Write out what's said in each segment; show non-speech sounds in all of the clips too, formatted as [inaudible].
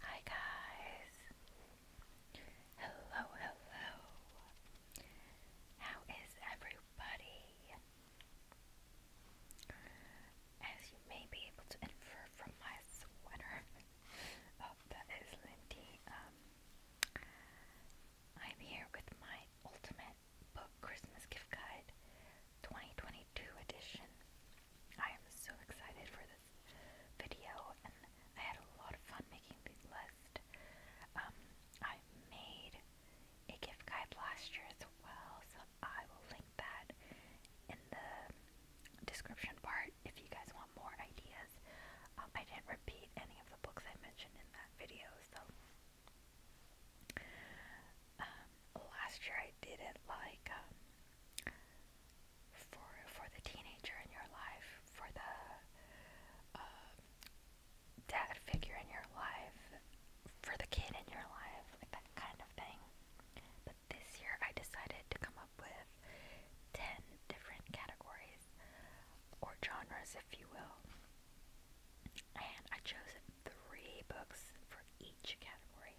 Hi guys. Hello, hello. How is everybody? As you may be able to infer from my sweater, [laughs] oh, that is Lindy. Um, I'm here with my ultimate book Christmas gift guide, 2022 edition. I am so excited for this video, and I had a lot of fun making the list. Um, I made a gift guide last year as well, so I will link that in the description part if you guys want more ideas. Um, I didn't repeat any of the books I mentioned in that video, so. Um, last year I did it like um, for for the teenager in your life, for the uh, dad figure in your life, for the kid in your life, like that kind of thing. But this year, I decided to come up with ten different categories or genres, if you will, and I chose three books for each category.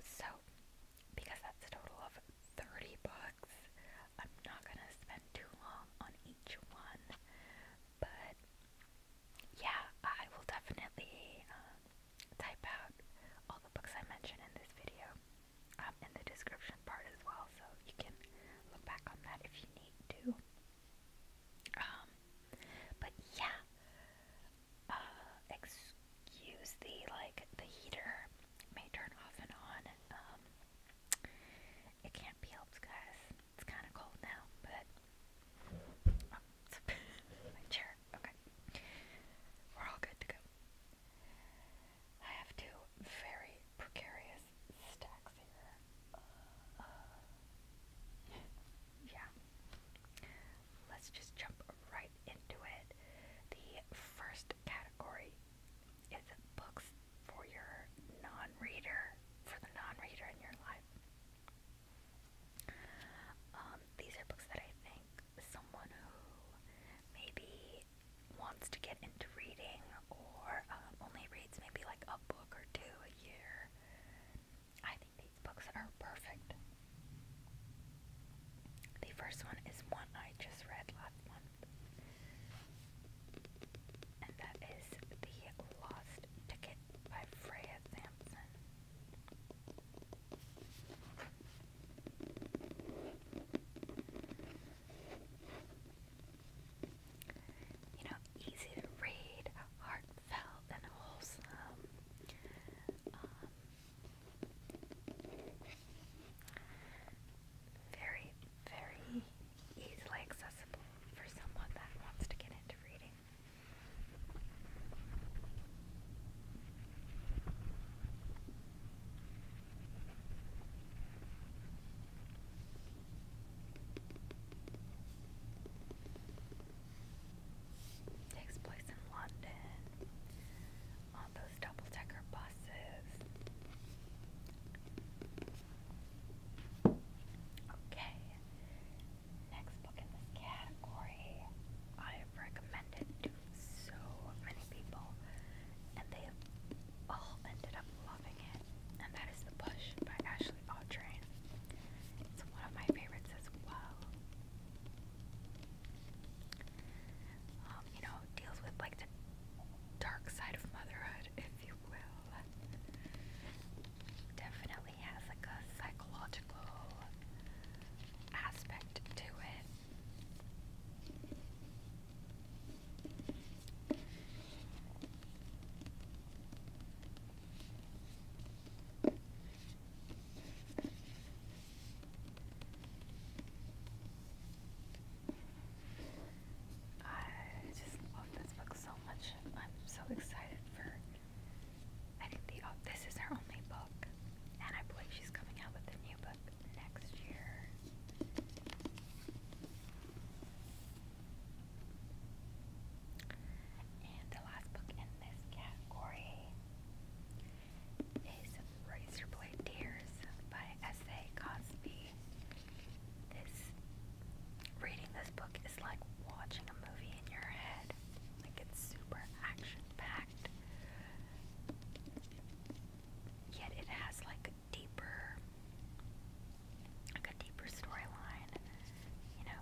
So, because that's a total of 30 bucks, I'm not gonna spend too long on each one, but yeah, I will definitely um, type out all the books I mentioned in this video um, in the description part as well, so you can look back on that if you need to. Um, but yeah, uh, excuse the like the heater may turn off and on. Um, it can't be helped, guys. It's kind of cold now, but oh, [laughs] my chair. Okay, we're all good to go. I have two very precarious stacks here. Uh, yeah, Let's just jump right into it. The first category is books for your non reader, for the non reader in your life. Um, these are books that I think someone who maybe wants to get into reading or um, only reads maybe like a book or two a year. I these books are perfect. The first one is one I just read last month, and that is The Lost Ticket by Freya Sampson. You know, easy to read, heartfelt and wholesome. Um, very, very easily accessible for someone that wants to get into reading. Takes place in London on those double decker buses. Okay, next book in this category I have recommended to so many people, and they have all ended up loving it, and that is The Push by Ashley Audrain. It's one of my favorites as well um, you know, deals with like the dark side of motherhood, if you will. Definitely has like a psychological aspect to it. I just love this book so much. I'm so excited for. I think the oh, this is her only book, and I believe she's coming out with a new book next year. And the last book in this category is Razorblade Tears by S.A. Cosby. This, reading this book is like watching a movie in your head. Like it's super action packed. Yet it has like a deeper, like a deeper storyline. You know,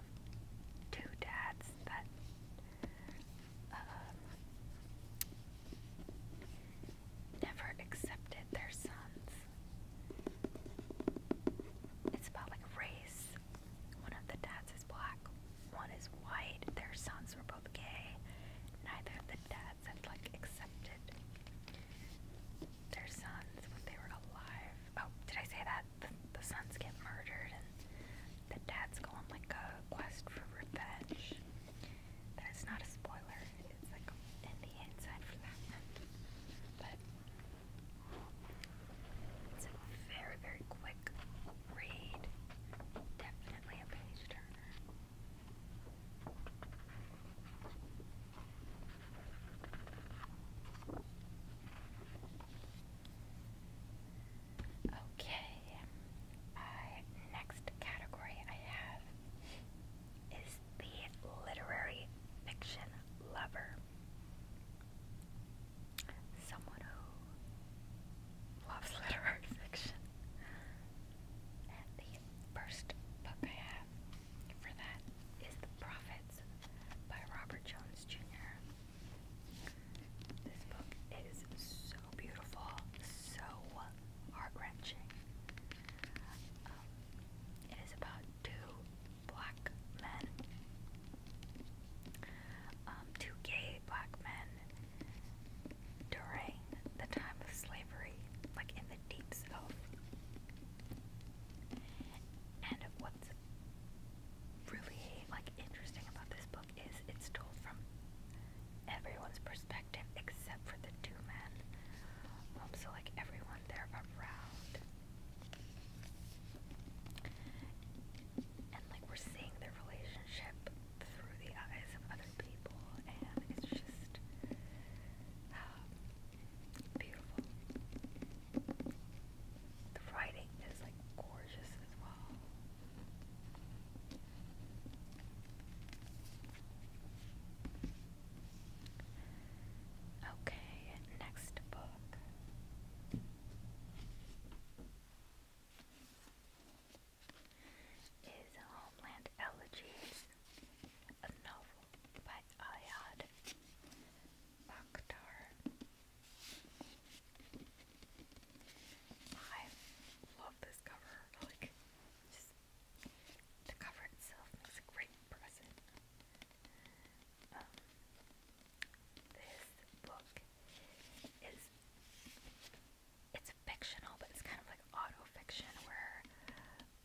two dads that um, never accepted their sons. It's about like race. One of the dads is black, one is white. Their sons were both gay. Neither the dads like accepted their sons when they were alive. Oh, did I say that? the, sons get murdered and the dad's going like a quest for revenge. That is not a spoiler. It's like in the inside for that But it's a very, very quick read. Definitely a page turner. Okay, next category I have is the literary fiction lover. Someone who loves [laughs] literary fiction. And the first book I have for that is The Prophets by Robert Jones Jr. This book is so beautiful, so heart wrenching. Um, it is about two black men, um, two gay black men during the time of slavery, like in the deep south. And what's really like interesting about this book is, it's told from everyone's perspective except for the two men. Um, so, like, everyone they're around. And, like, we're seeing their relationship through the eyes of other people, and it's just [sighs] beautiful. The writing is like gorgeous as well. Okay, next book. Is Homeland Elegies, a novel by Ayad Bakhtar. I love this cover. Like, just the cover itself makes a great present. Um, this book is it's fictional, but it's kind of like auto where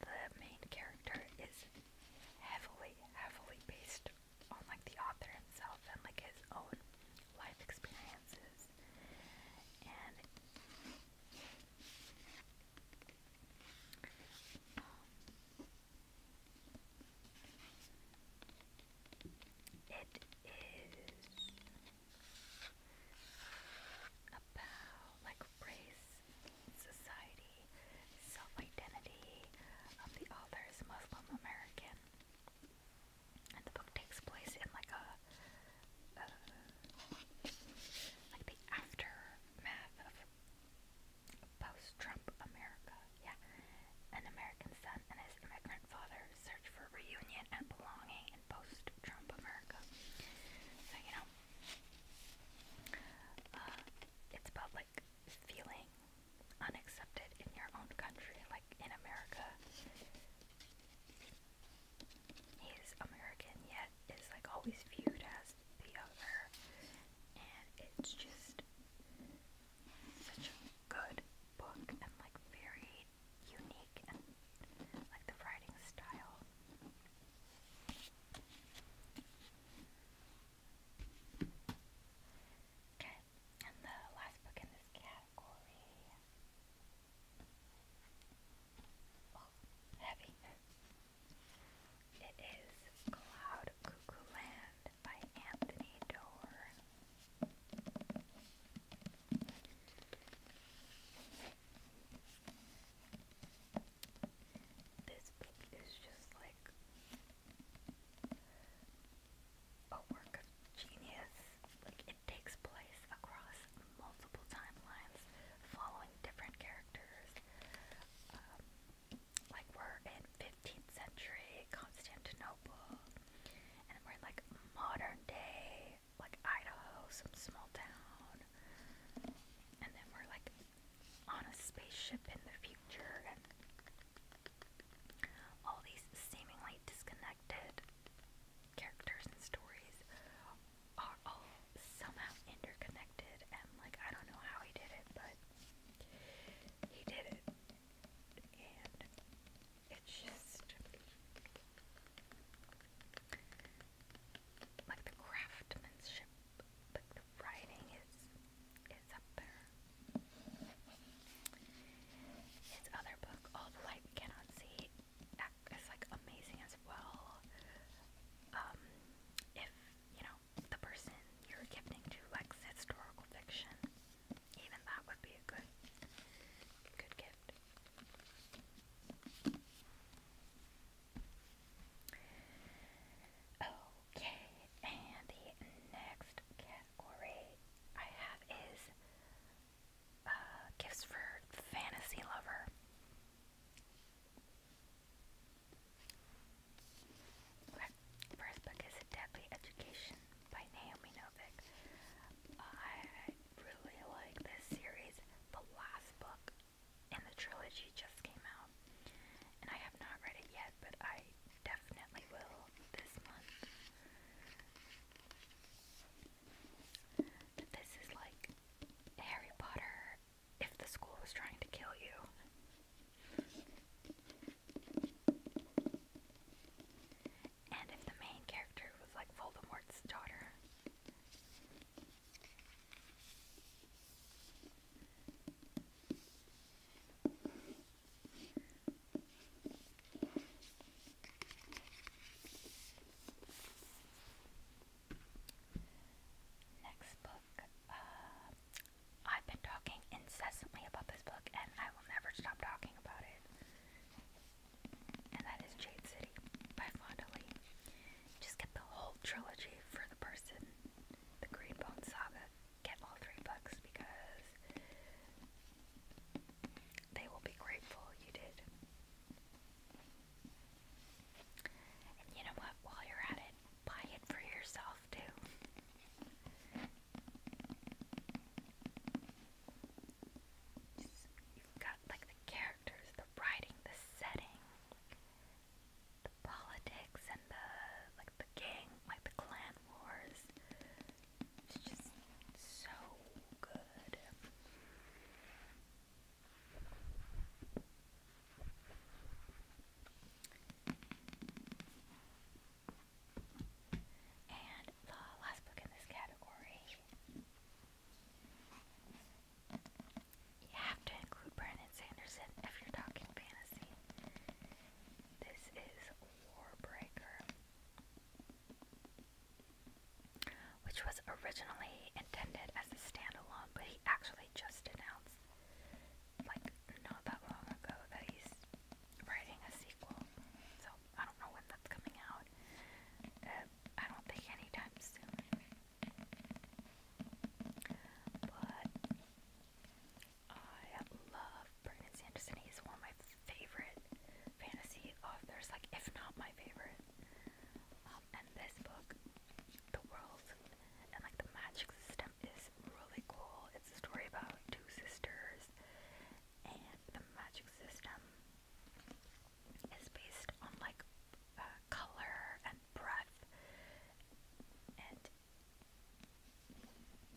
the main character is heavily, heavily based on like the author himself and like his own life experiences um, it is about like race, society, self identity of the author's Muslim American and the book takes place in like a, like the aftermath of post-Trump America. Yeah, an American son and his immigrant father search for reunion and belonging in post-Trump America. So you know, uh, it's about like feeling unaccepted in your own country, like in America. He's American, yet is like always viewed as the other, and it's just such a good book and like very unique and like the writing style. Okay, and the last book in this cat heavy. It is Cloud Cuckoo Land by Anthony Doerr. This book is just like a work of genius. Like it takes place across multiple timelines, following different characters. Um, like we're in 15th century Constantinople, and we're in like modern day, like Idaho, some small town, and then we're like on a spaceship in the future, and all these seemingly disconnected characters and stories are all somehow interconnected, and like I don't know how he did it, but he did it, and it's just like the craftsmanship, like the writing is is up there. His other book, All the Light We Cannot See, is like amazing as well. Um, if you know the person you're gifting to likes historical fiction, even that would be a good, good gift. Okay, and the next cat Ori I have is uh, Gifts for Fantasy Lover. Okay. first book is Deadly Education by Naomi Novik. I really like this series. The last book in the trilogy just came out, and I have not read it yet, but I definitely will this month. this is like Harry Potter if the school was trying to kill you. And if the main character was like Voldemort's daughter. Next book. Uh, I've been talking incessantly about this book, and I will never stop talking about it. And that is Jade City by Fonda Just get the whole trilogy for the person, the Green Bone Saga get all three books because they will be grateful you did. And you know what? While you're at it, buy it for yourself too. Just, you got like the characters, the writing, the setting, the politics, and the like the gang, like the clan wars, it's just so good. And the last book in this category. You have to include Brandon Sanderson if you're talking fantasy. This is Warbreaker which was originally intended as a standalone, but he actually just announced, like, not that long ago, that he's writing a sequel. So I don't know when that's coming out. Uh, I don't think anytime soon. I love Brandon Sanderson. He's one of my favorite fantasy authors, like if not my favorite. Um, and this book, the world and like the magic system, is really cool. It's a story about two sisters, and the magic system is based on like uh, color and breath, and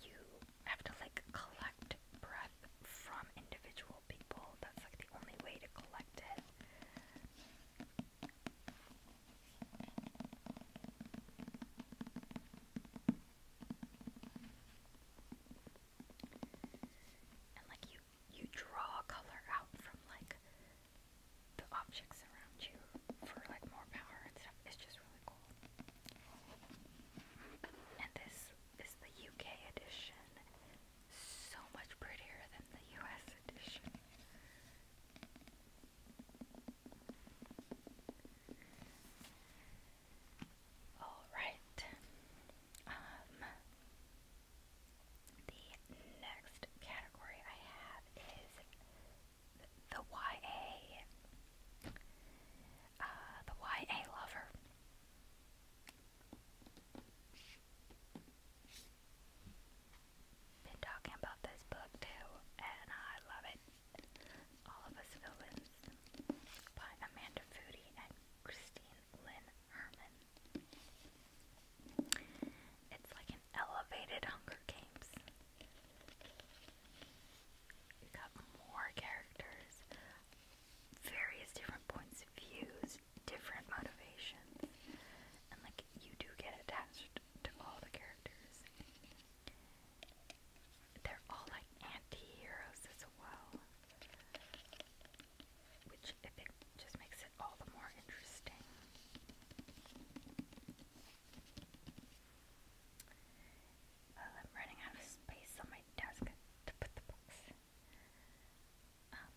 you have to like collect breath from individual people. That's like the only way to collect it. And like you you draw color out from like the objects around you for like more power and stuff. It's just really cool. And this is the UK edition. So much prettier than the US edition. Alright. Um, the next category I have is the YA uh, the YA Lover. Been talking about this book too, and I love it. All of Us Villains by Amanda Foody and Christine Lynn Herman. It's like an elevated Hunger Games we got more characters, various different points of views, different motivations, and like you do get attached to all the characters. They're all like anti-heroes as well. Which I think just makes it all the more interesting. I'm running out of space on my desk to put the books. Um,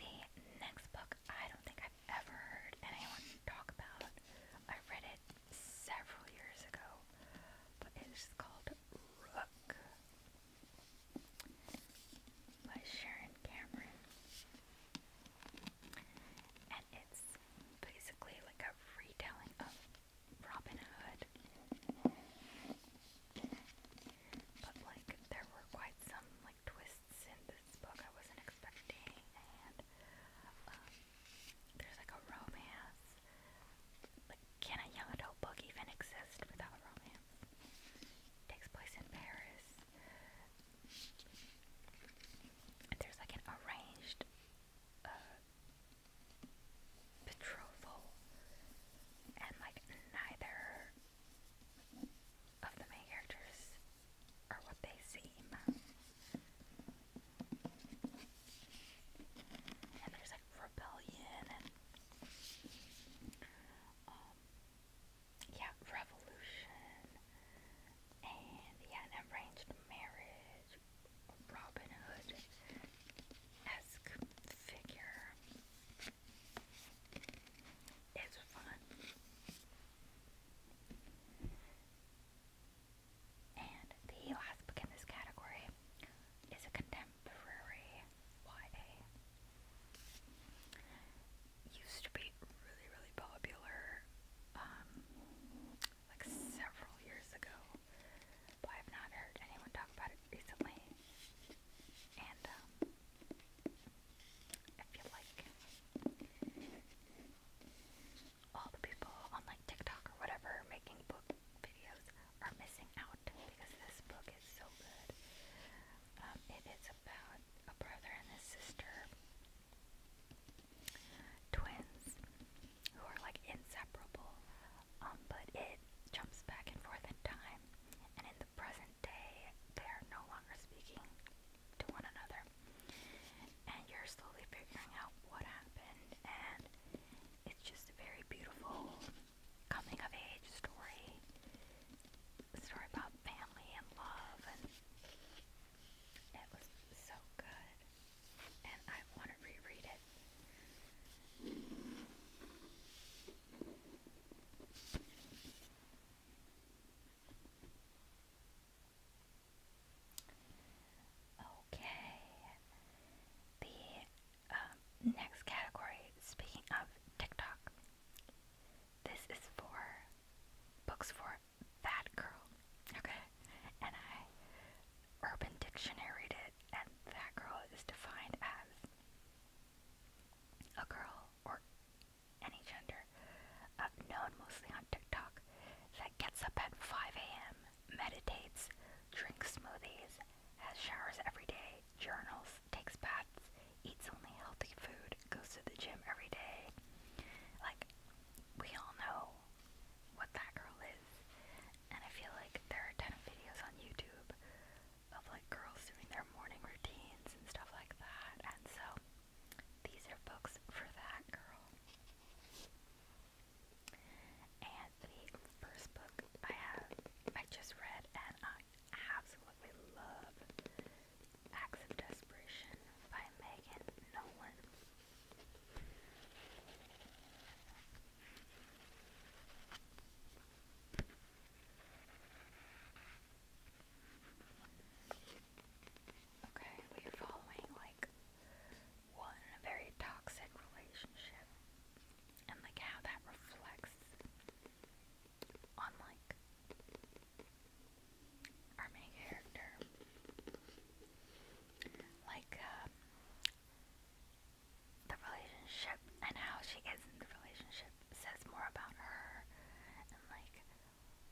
the next book I don't think I've ever heard anyone talk about. I read it several years ago, but it is called Rook by Sharon Cameron. And it's basically like a retelling of Robin Hood. But like there were quite some like twists in this book I wasn't expecting and um, there's like a romance. Like can a young adult book even exist without romance? takes place in Paris. There's like an arranged uh, betrothal, and like neither of the main characters are what they seem. And there's like rebellion and um, yeah, revolution and yeah, arranged marriage Robin Hood esque figure. It's fun. And the last book in this category is a contemporary YA. Used to be really, really popular um, like several years ago, but I've not heard anyone talk about it recently. And um, I feel like all the people on like TikTok or whatever making book videos are missing out because this book is so good. Um, it is about a brother and a sister, twins, who are like inseparable, um, but it jumps back and forth in time, and in the present day, they're no longer speaking to one another. And you're slowly figuring out what happened, and it's just a very beautiful coming of age story. A story about family and love, and it was so good and I want to reread it. Okay, the um, next category, speaking of TikTok, this is for books for fat girl. Okay, and I Urban Dictionary it, and that girl is defined as a girl or any gender known mostly on TikTok that gets up at 5 a.m., meditates, drinks smoothies, has showers every day, journals, takes baths, eats only healthy food, goes to the gym every day. Like, we all know know what that girl is. And I feel like there are a ton of videos on YouTube of like girls doing their morning routines and stuff like that. And so these are books for that girl. And the first book I have, I just read, and I absolutely love Acts of Desperation by Megan Nolan. Okay, we are following like one very toxic relationship and like how that reflects on like our main character. Like um, the relationship and how she gets into the relationship says more about her and like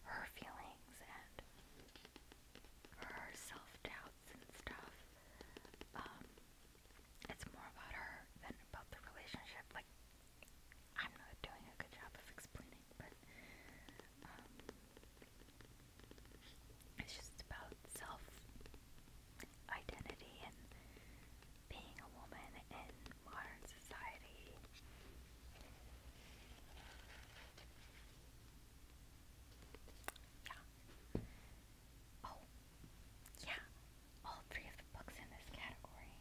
her feelings and her self doubts and stuff. Um, it's more about her than about the relationship. Like, I'm not doing a good job of explaining, but um, it's just about self identity and being a woman in modern society. Yeah. Oh, yeah. All three of the books in this category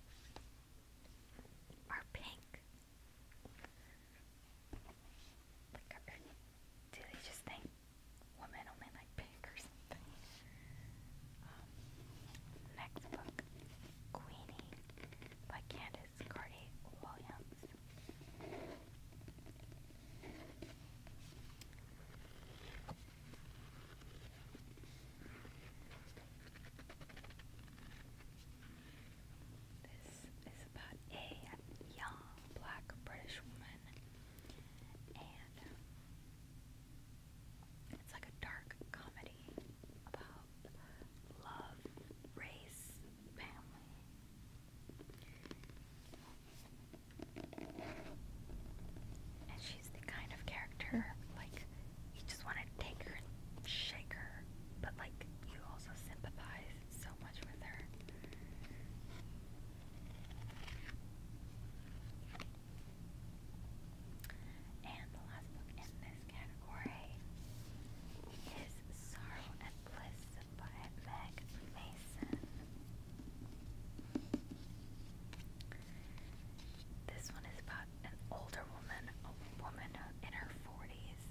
are pink. Like, or, do they just think women only like pink or something? Um, next book, Queenie by Candace Carty Williams. This is about a young black British woman and it's like a dark comedy about love, race, family. And she's the kind of character like you just want to take her and shake her, but like you also sympathize so much with her. And the last book in this category is Sorrow and Bliss by Meg Mason. This one is about an older woman, a woman in her 40s.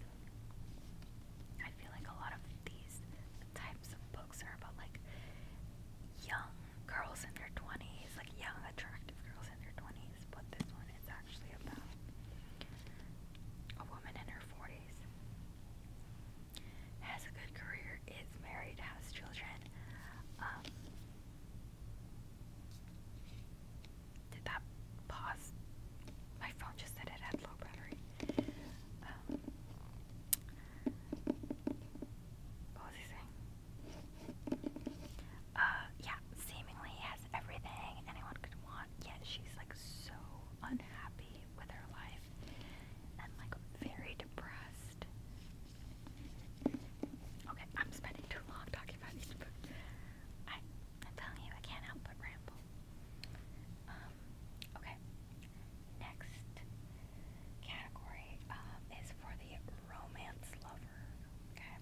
I feel like a lot of these types of books are about like young girls in their 20s, like young attractive girls in their 20s, but this one is actually about a woman in her 40s. Has a good career, is married, has children. Um, did that pause? My phone just said it had low battery what was he saying? Uh, yeah, seemingly has everything anyone could want, yet she's like so unhappy with her life and like very depressed. Okay, I'm spending too long talking about these books. I, I'm telling you, I can't help but ramble. Um, okay, Next category um, is for the romance lover. Okay.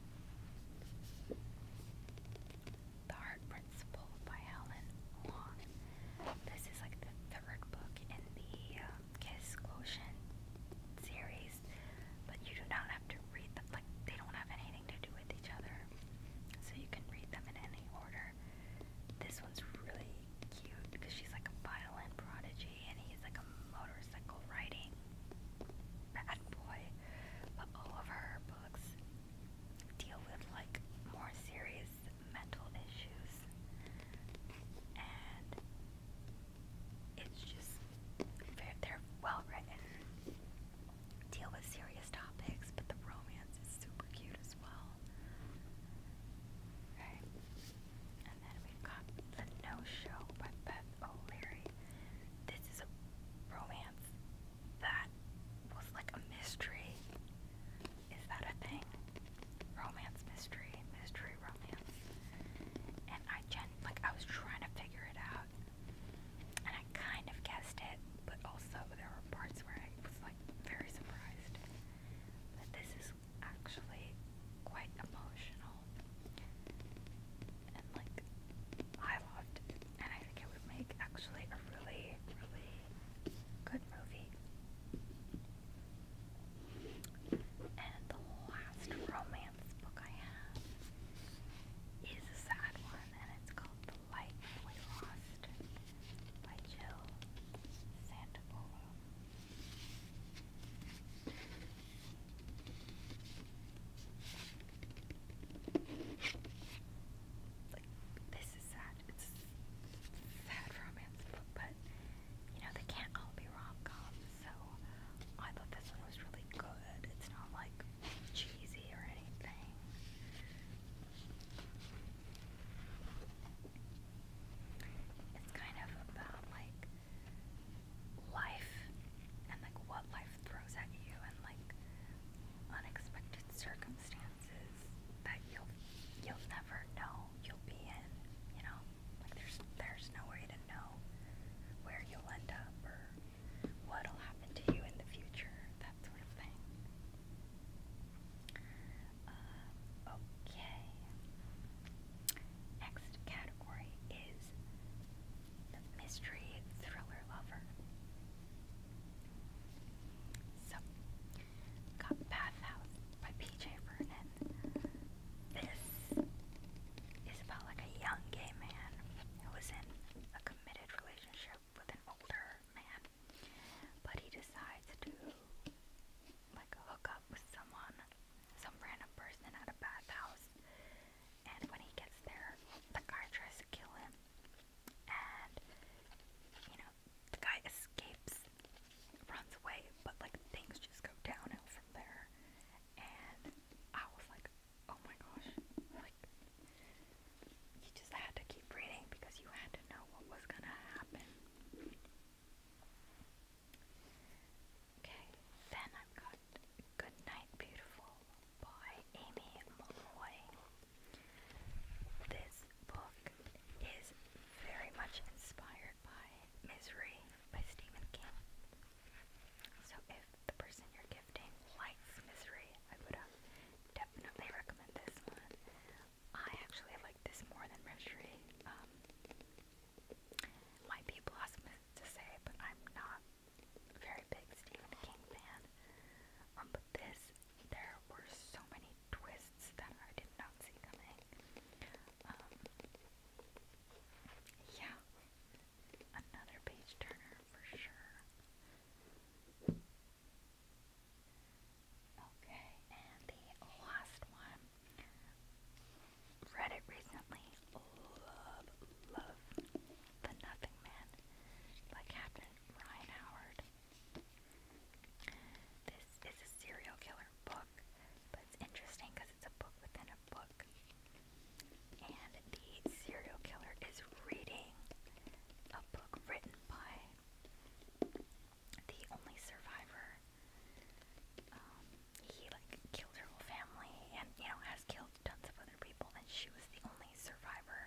The Heart Principle by Helen Wong. This is like the third book in the uh, series, but you do not have to read them. they don't have anything to do with each other, so you can read them in any order. This one's really cute because she's like a violin prodigy and he's like a motorcycle riding bad boy. But all of her books deal with like more serious mental issues. And it's just, they they're well written, deal with serious topics, but the romance is super cute as well. Right. And then we got The No Show by Beth O'Leary. This is a romance that was like a mystery. Is that a thing? Romance mystery, mystery romance. And I gen like I was trying to figure it out. And I kind of guessed it, but also there were parts where I was like very surprised that this is actually quite emotional and like I loved it and I think it would make actually a really really good movie. And the last romance book I have is a sad one and it's called The Light We Lost Mist this is sad. It's sad romance but you know, they can't all be rom coms, so I thought this one was really good. It's not like cheesy or anything. It's kind of about like life and like what life throws at you and like unexpected circumstances that you'll you'll never know you'll be in, you know? Like there's there's no way to know where you'll end up or what'll happen to you in the future, that sort of thing. Um, okay. Next category is the mystery thriller lover. So, got Bathhouse by P.J. Vernon. This is about like a young gay man who was in a committed relationship with an older man, but he decides to like hook up with someone, some random person at a bathhouse. And when he gets there, the guy tries to kill him, and you know the guy escapes, runs away, but like things just go downhill from there. And I was like, oh my gosh, like you just had to keep reading because you had to know what was going to happen. Okay, then I've got Good Night Beautiful by Amy Malloy. This book is very much inspired by Misery by Stephen King. So if the person you're gifting likes Misery, I would uh, definitely recommend this one. I actually like this more than Mystery. Um, might be blasphemous to say, but I'm not a very big Stephen King fan. Um, but this, there were so many twists that I did not see coming. Um, yeah, another page turner for sure. Okay, and the last one. Read it recently. Love, love The Nothing Man by Captain Ryan Howard. This is a serial killer book, but it's interesting because it's a book within a book. And the serial killer is reading a book written by the only survivor. Um, he like killed her whole family, and you know has killed tons of other people. And she was the only survivor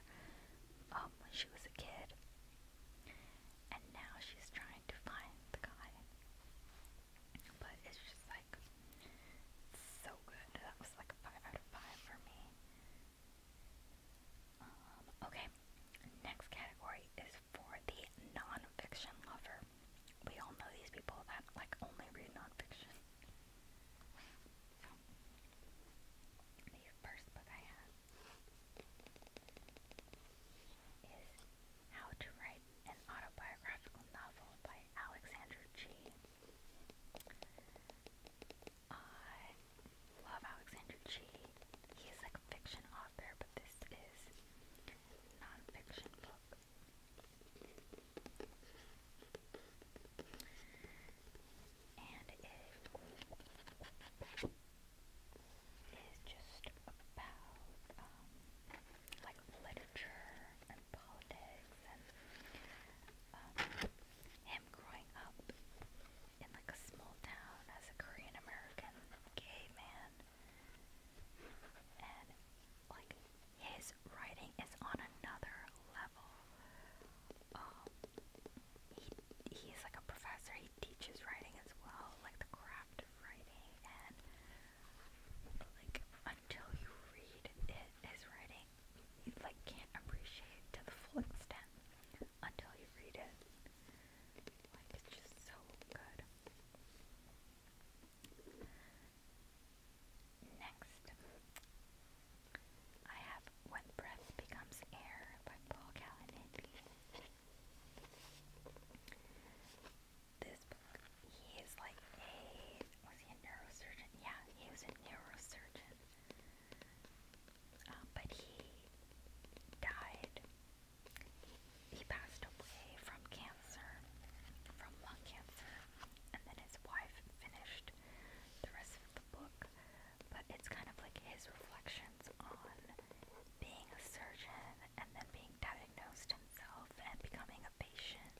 um, when she was a kid, and now she's trying to find the guy. But it's just like so good. That was like a five out of five for me. Um, okay, next category is for the nonfiction lover. We all know these people that like only read nonfiction. the first book I have is How to Write an Autobiographical Novel by Alexander G. I love Alexander G. He is like a fiction author, but this is non-fiction book. And it is just about um, like literature and politics and um, him growing up in like a small town as a Korean American gay man. And like his writing is on another level. Um he he's like a professor, he teaches writing as well, like the craft of writing and like until you read it, his writing you like can't appreciate to the full extent until you read it. Like, it's just so good. Next, I have When Breath Becomes Air by Paul Kalanithi. This book, he is like a, was he a neurosurgeon? Yeah, he was a neurosurgeon. Um, but he died. He passed away from cancer, from lung cancer, and then his wife finished the rest of the book. But it's kind of like his reflections on being a surgeon and then being diagnosed himself and becoming a patient,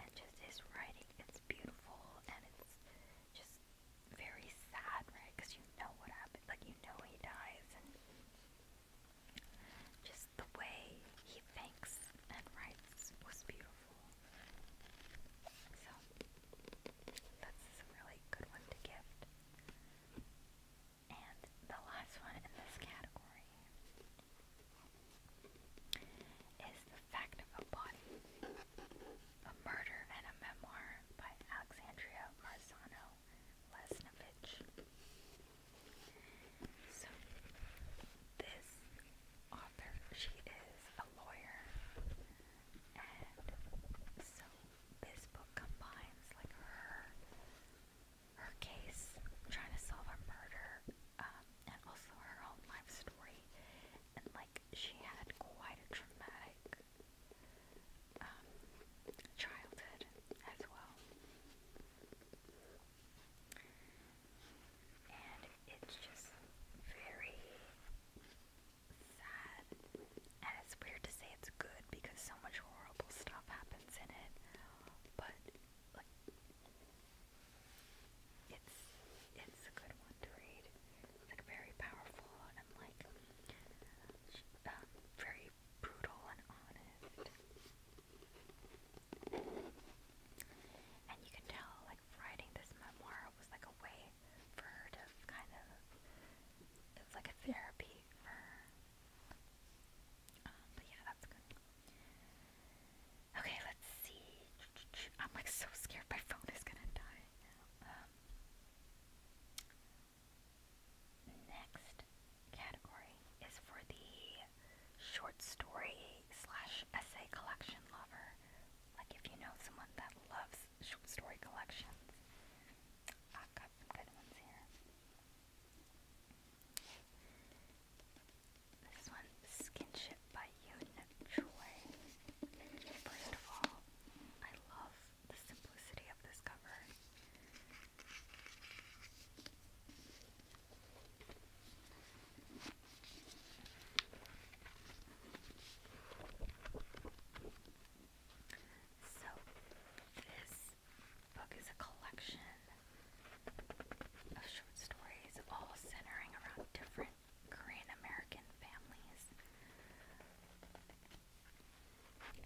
and just his writing. It's beautiful and it's just very sad, right? Because you know what happened. Like, you know he dies. And just the way he thinks and writes was beautiful. So, that's a really good one to gift. And the last one in this category is The Fact of a Body. A Murder and a Memoir by Alexandria Marzano Lesnovich. So, this author, she is a lawyer, and so this book combines like her her case, trying to solve a murder, um, and also her own life story, and like she had quite a traumatic um, childhood as well. And it's just very sad. And it's weird to say it's good because so much horrible stuff happens in it. But it's it's a good one to read like very powerful and like um, very brutal and honest. And you can tell like writing this memoir was like a way for her to kind of it was like a therapy for her. Um, but yeah, that's good. Okay, let's see. I'm like so scared my phone is gonna die. Um, Next category is for the short story slash essay collection lover. Like if you know someone that loves short story collections. I've got some good ones here. This one, Skinship by Yoon Choi. First of all, I love the simplicity of this cover. So, this book is a collection of short stories, all centering around different Korean American families.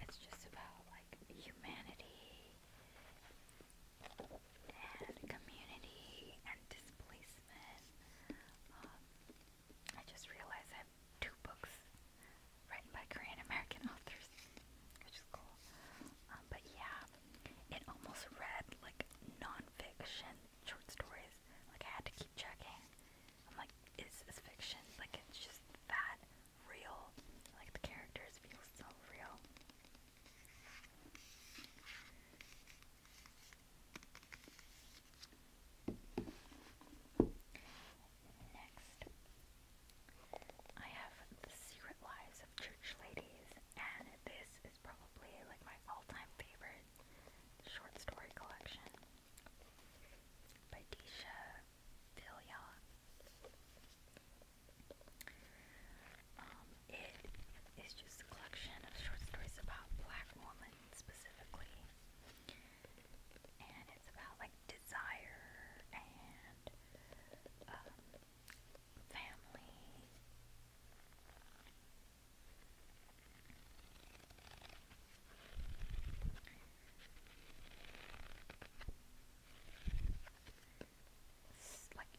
It's just about like humanity and community and displacement. Um, I just realized I have two books written by Korean American [laughs] authors, which is cool. Um, but yeah, it almost read like nonfiction short stories. Like I had to keep checking like, it's a fiction? Like, it's just that real. Like, the characters feel so real. Next, I have The Secret Lives of Church Ladies, and this is probably like my all time favorite short story collection by Disha um, it is just a collection of short stories about black women specifically. And it's about like desire and um, family it's like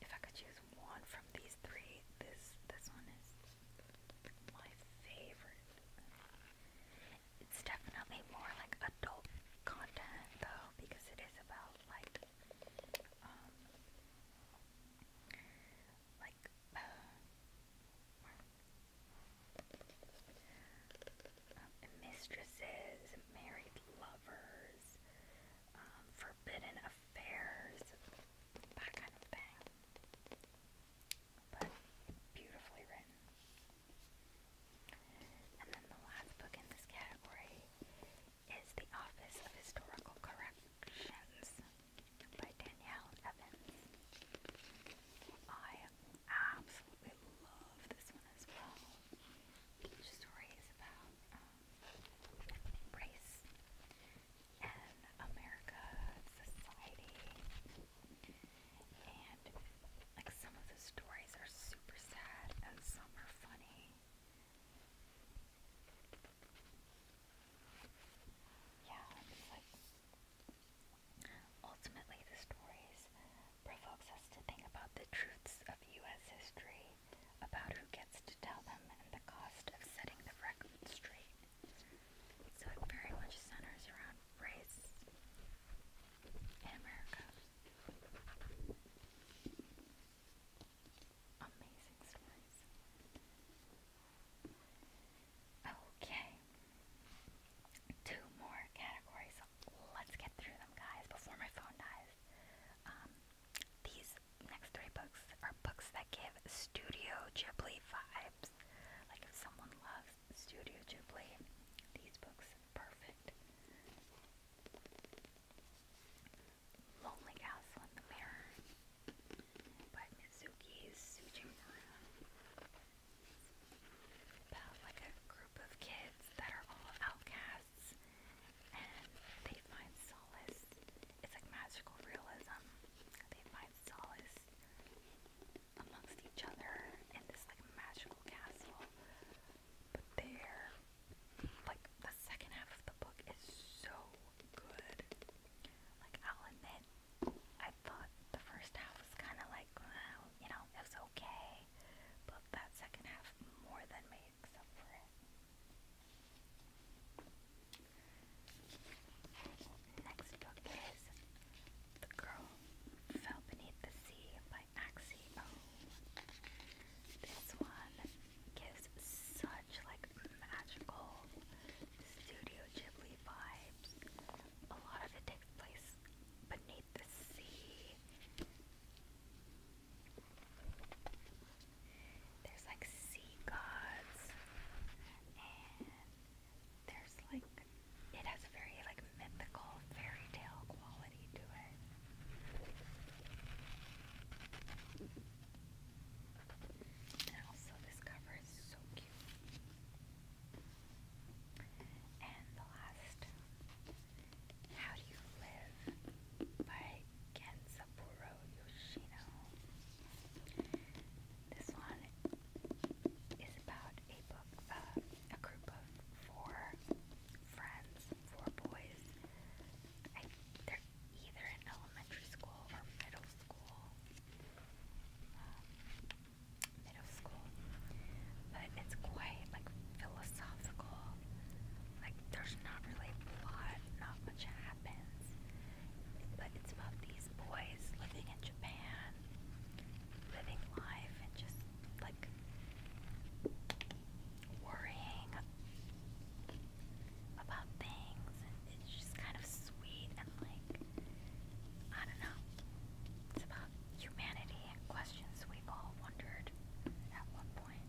if I could choose one from these three, this this one is my favorite. It's definitely more like adult content though, because it is about like um like uh, um, mistresses, married lovers, um, forbidden affairs, that kind of thing. But beautifully written. And then the last book in this category is The Office of Historical Corrections by Danielle Evans. I absolutely love this one as well. The about um, race and America, society, and like some of the stories are super sad and some are funny. Yeah, it's like Ultimately, the stories provokes us to think about the truths of U.S. history, about who gets to tell them, and the cost of setting the record straight. So it very much centers around race in America. Amazing stories. Okay. Two more categories. Let's get through them, guys, before my phone dies. Um, these next three books are books that give Studio Ghibli vibes. Like, if someone loves Studio Ghibli, these books perfect. Lonely Castle in the Mirror by Mizuki Sujimura about like a group of kids that are all outcasts and they find solace. It's like magical realism. They find solace amongst each other in this like magical castle. But they like the second half of the book is so good. Like i I the first half was kind of like, you know, it was okay, but that second half more than makes Next book is The Girl Fell Beneath the Sea by Axie This one gives such like magical Studio Ghibli vibes. A lot of it takes place beneath the sea. There's like sea gods, and there's like it has a very like mythical fairy tale quality to it. And also, this cover is so cute. And the last, how do you live? By Gensaburo Yoshino. This one is about a book, uh, a group of four friends, four boys. I, they're either in elementary school or middle school. Um, middle school. But it's quite like philosophical. Like there's not really a plot, not much happens. But it's about these boys living in Japan, living life and just like worrying about things and it's just kind of sweet and like I don't know. It's about humanity and questions we've all wondered at one point.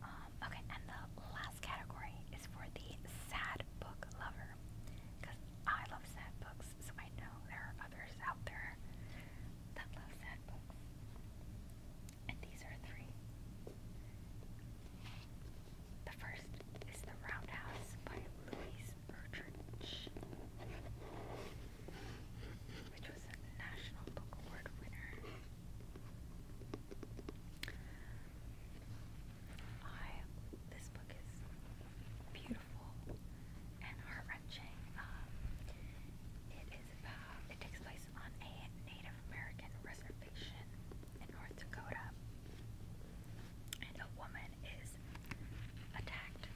Um, okay, and the last category is for the sad book lover. Because I love sad books, so I know there are others out there that love sad books. And these are three. The first is The Roundhouse by Louise Erdrich, which was a National Book Award winner. I this book is beautiful and heart um, it is about it takes place on a Native American reservation fiction in North Dakota, and a woman is attacked,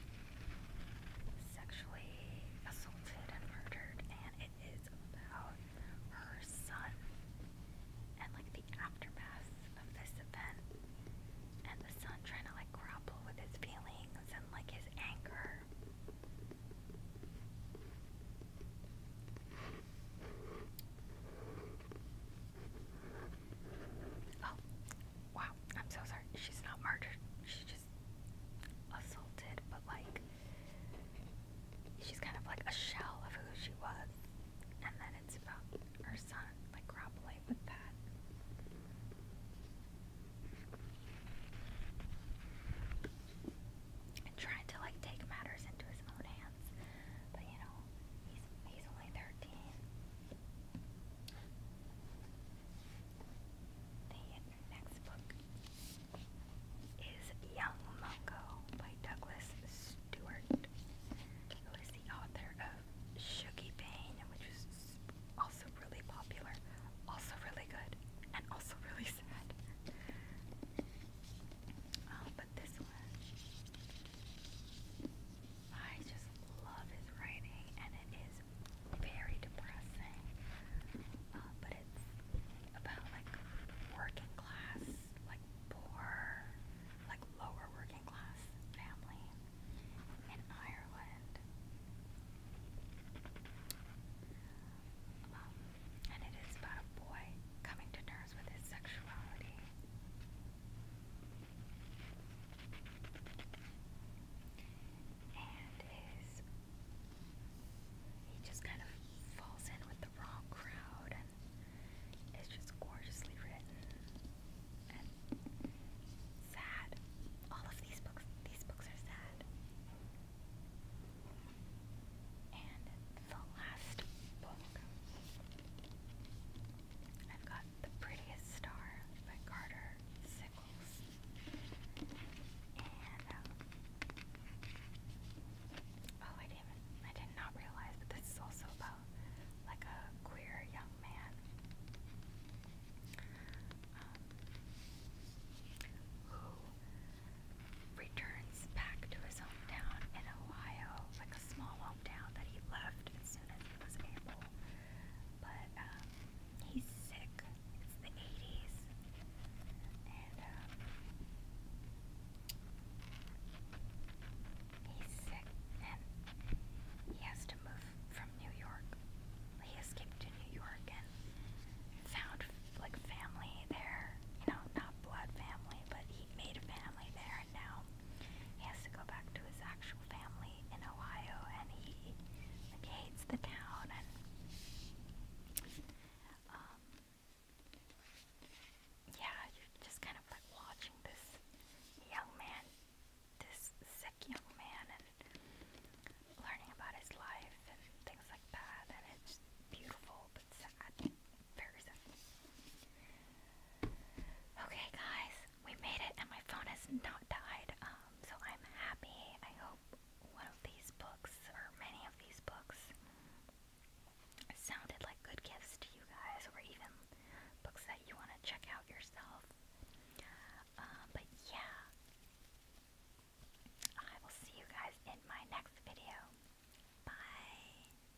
sexually assaulted, and murdered, and it is about her son and like the aftermath of this event, and the son trying to like grapple with his feelings and like his anger. Oh, wow. I'm so sorry. She's not murdered. She's just assaulted, but like, she's kind of like a shell of who she was. And then it's about her son. Like, Rob with that. And trying to like take matters into his own hands chance. But you know, he's he's only thirteen. The next book is Young Mungo by Douglas Stewart, who is the author of Shuggy Pain, which was also really popular, also really good, and also really sad. Um, but this one, I just love his writing, and it is very depressing. Uh, but it's about like working class, like poor, like lower working class family in Ireland. Um, and it is about a boy coming to terms with his sexuality. And his. He just kind of falls in with the wrong crowd, and it's just gorgeously written and sad. All of these books, these books are sad. And the last book I've got The Prettiest Star by Carter Sickles. Um, oh, I didn't even, I did not realize that this is also about like a queer young man um, who returns back to his hometown in Ohio, small hometown that he left as soon as he was able. But um, he's sick. It's the 80s. Um, he's sick and he has to move from New York. He escaped to New York and found like family there. You know, not blood family, but he made a family there retired now. He has to go back to his actual family in Ohio, and he like, hates the town. And um, yeah, you're just kind of like watching this young man, this sick young man, and learning about his life and things like that. And it's beautiful but sad. Very Okay, guys, we made it, and my phone has not died, um, so I'm happy. I hope one of these books, or many of these books, sounded like good gifts to you guys, or even books that you want to check out yourself. Um, but yeah, I will see you guys in my next video. Bye.